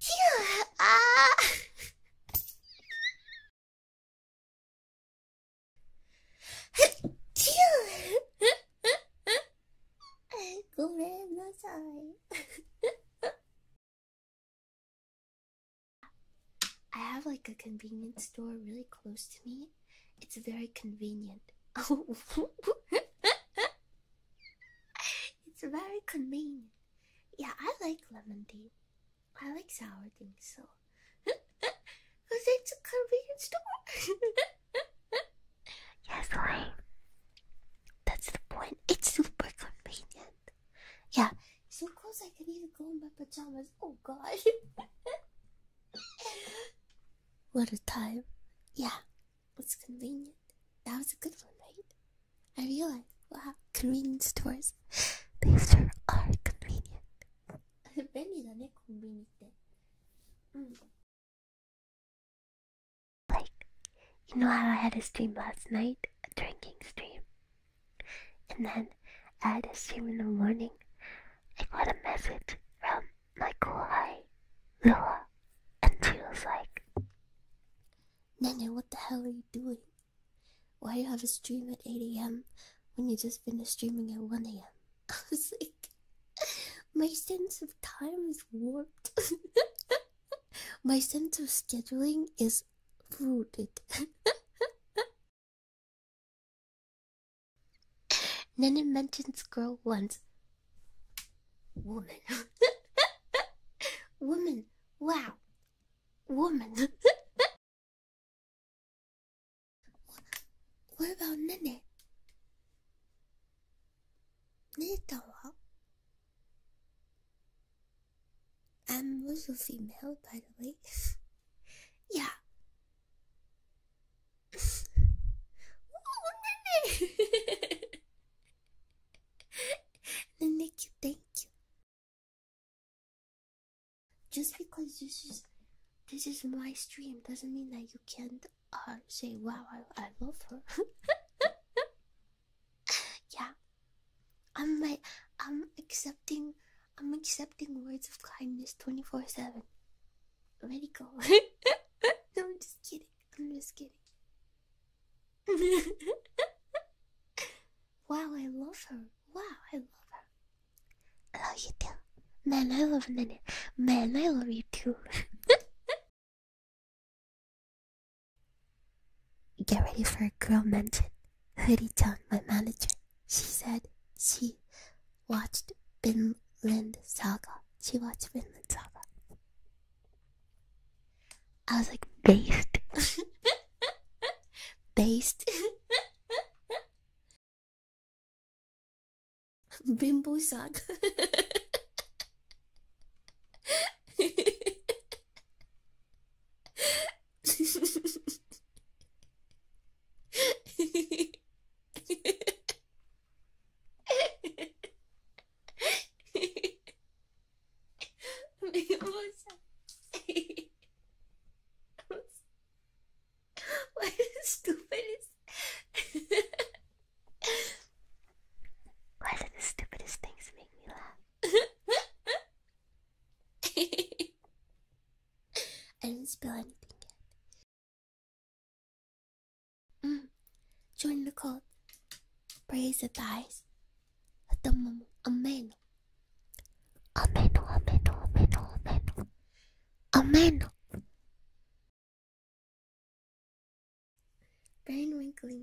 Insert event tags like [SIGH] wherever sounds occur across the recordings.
Phew! Ah! Phew! ごめんなさい。I have like a convenience store really close to me, it's very convenient. [LAUGHS] it's very convenient. Yeah, I like lemonade. I like sour things, so. [LAUGHS] it's a convenience store. yes, [LAUGHS] right. That's the point. It's super convenient. Yeah, so close I can even go in my pajamas. Oh, gosh. What a time. Yeah, it's convenient. That was a good one, right? I realized, wow, convenience stores, [LAUGHS] These sure are convenient. [LAUGHS] Hmm. Like, you know how I had a stream last night? A drinking stream. And then, I had a stream in the morning. I got a message from like why? Lua. And she was like, Nene, what the hell are you doing? Why do you have a stream at 8 a.m. when you just finished streaming at 1 a.m.? [LAUGHS] I was like, my sense of time is warped. [LAUGHS] my sense of scheduling is rooted. [LAUGHS] Nenan mentions girl once. Woman. [LAUGHS] Woman. Wow. Woman. [LAUGHS] what about Nene? Nene-tan I'm also female, by the way. [LAUGHS] Yeah. oh, Nene! Nene, thank you. Just because this is this is my stream doesn't mean that you can't uh, say, "Wow, I, love her." [LAUGHS] yeah, I'm my, I'm accepting I'm accepting words of kindness 24 7. Ready, go. [LAUGHS] [LAUGHS] no, I'm just kidding. I'm just kidding. [LAUGHS] wow, I love her. Wow, I love her. I love you too. Man, I love Nene. Man, I love you too. Get ready for a girl mention. Hoodie tongue, my manager. She said she watched Vinland Saga. She watched Vinland Saga. I was like, based. [LAUGHS] based. [LAUGHS] Bimbo Saga. [LAUGHS] Me gusta. What stupidest? Why do the stupidest things make me laugh? [LAUGHS] I didn't spill anything yet. Mm. Join the cult. Praise the thighs. Amen. Amen. Amen. Amen. Amen. Amen. Brain wrinkling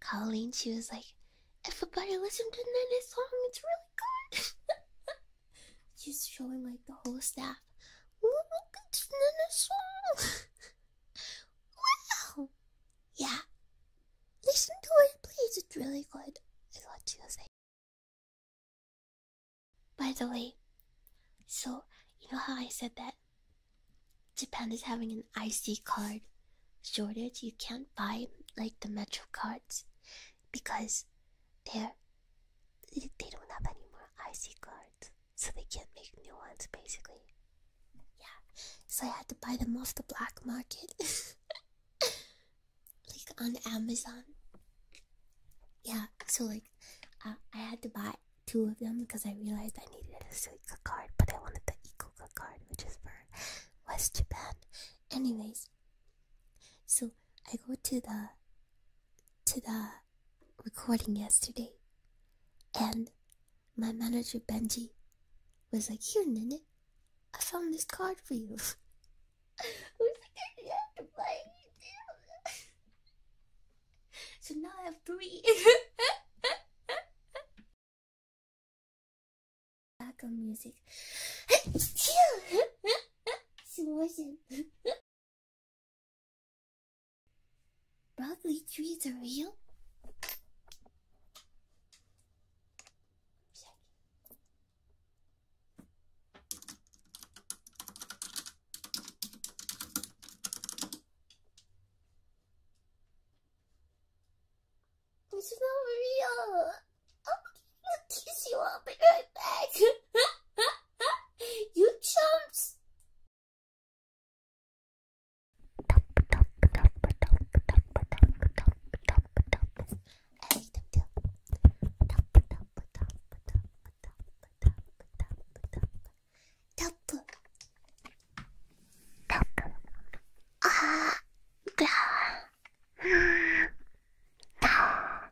Colleen, she was like, everybody listen to Nana's song, it's really good. [LAUGHS] She's showing like the whole staff. Oh my song. [LAUGHS] wow. Yeah. Listen to it, please. It's really good. Is what she was saying. By the way, so you know how I said that Japan is having an IC card shortage. You can't buy like the Metro cards because they're they don't have any more IC cards, so they can't make new ones basically. Yeah, so I had to buy them off the black market, [LAUGHS] like on Amazon. Yeah, so like uh, I had to buy two of them because I realized I needed a Suica card, but I wanted the Ikuka card, which is for West Japan. Anyways, so I go to the to the recording yesterday, and my manager Benji was like, "Here, Nene, I found this card for you." [LAUGHS] [LAUGHS] [LAUGHS] So now I have three. Background music. Probably [LAUGHS] trees are real? It's not real. I'm kiss you. I'll be right back. [LAUGHS] you chumps. [LAUGHS] タップタップあーぐらーたー ah,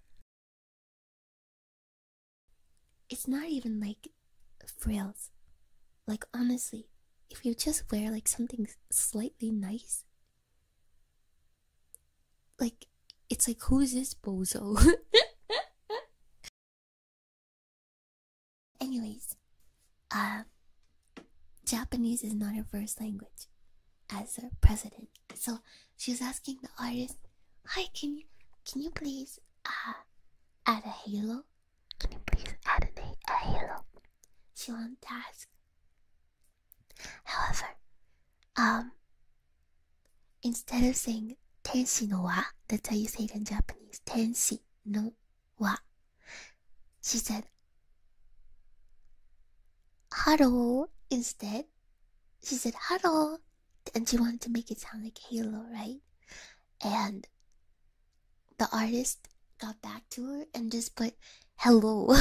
It's not even like frills. Like, honestly, if you just wear like something slightly nice, like, it's like, who's this bozo? [LAUGHS] Anyways, uh, Japanese is not her first language as her president. So she's asking the artist, "Hi, can you can you please uh add a halo? Can you please add a, halo?" She wants to ask. However, um, Instead of saying tenshi no wa, that's how you say it in Japanese. Tenshi no wa. She said "huddle." instead. She said "huddle," and she wanted to make it sound like "hello," right? And the artist got back to her and just put hello. [LAUGHS]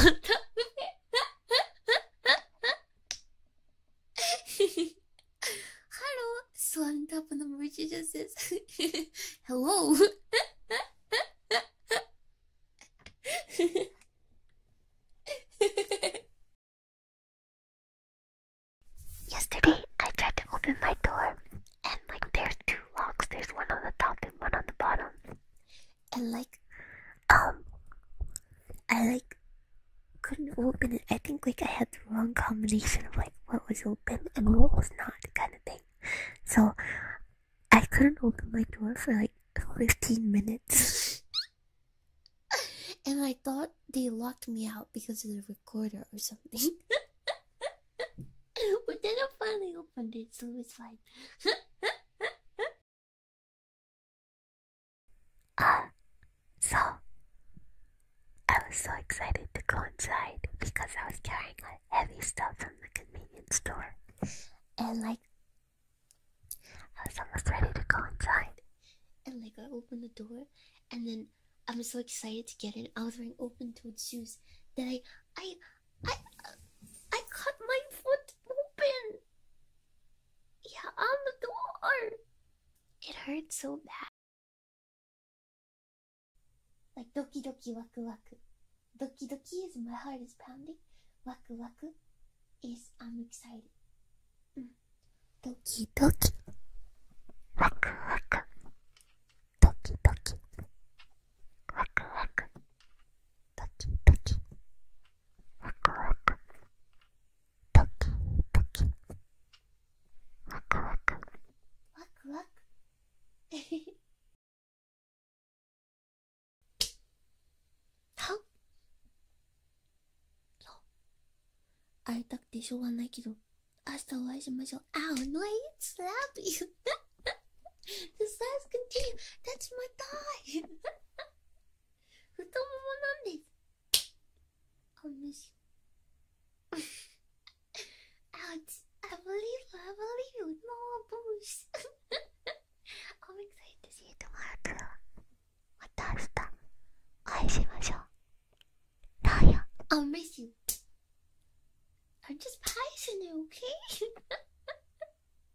Hello, So slammed up on the just says, [LAUGHS] Hello. [LAUGHS] Yesterday, I tried to open my door, and like there's two locks. There's one on the top and one on the bottom. And like, um, I like couldn't open it. I think like I had the wrong combination of like what was open and what was not kind of thing. So I couldn't open my door for like 15 minutes. [LAUGHS] and I thought they locked me out because of the recorder or something. [LAUGHS] but then I finally opened it, so it's like. [LAUGHS] Ah, so I was so excited to go inside because I was carrying heavy stuff from the convenience store. And like, I was almost ready to go inside. And like, I opened the door and then I was so excited to get in. I was wearing open toed shoes that I, I, I, I cut my foot open! Yeah, on the door! It hurts so bad. Like doki doki wack, wack. Doki doki is my heart is pounding. Wack, wack is I'm excited. Mm. Doki doki. wack. waku. Doki doki. wack. waku. Doki doki. ワクワクドキドキワクワクワクワクえへへはっ会いたくてしょうがないけど明日お会いしましょう。あ、あ。h no, I slap you. the size continue. That's my tie. 太ももなんですあむし ouch I believe you I believe you no boosh I'm excited to see you tomorrow too また明日お会いしましょうラーヤ I'll miss you I'm just passionate okay [LAUGHS]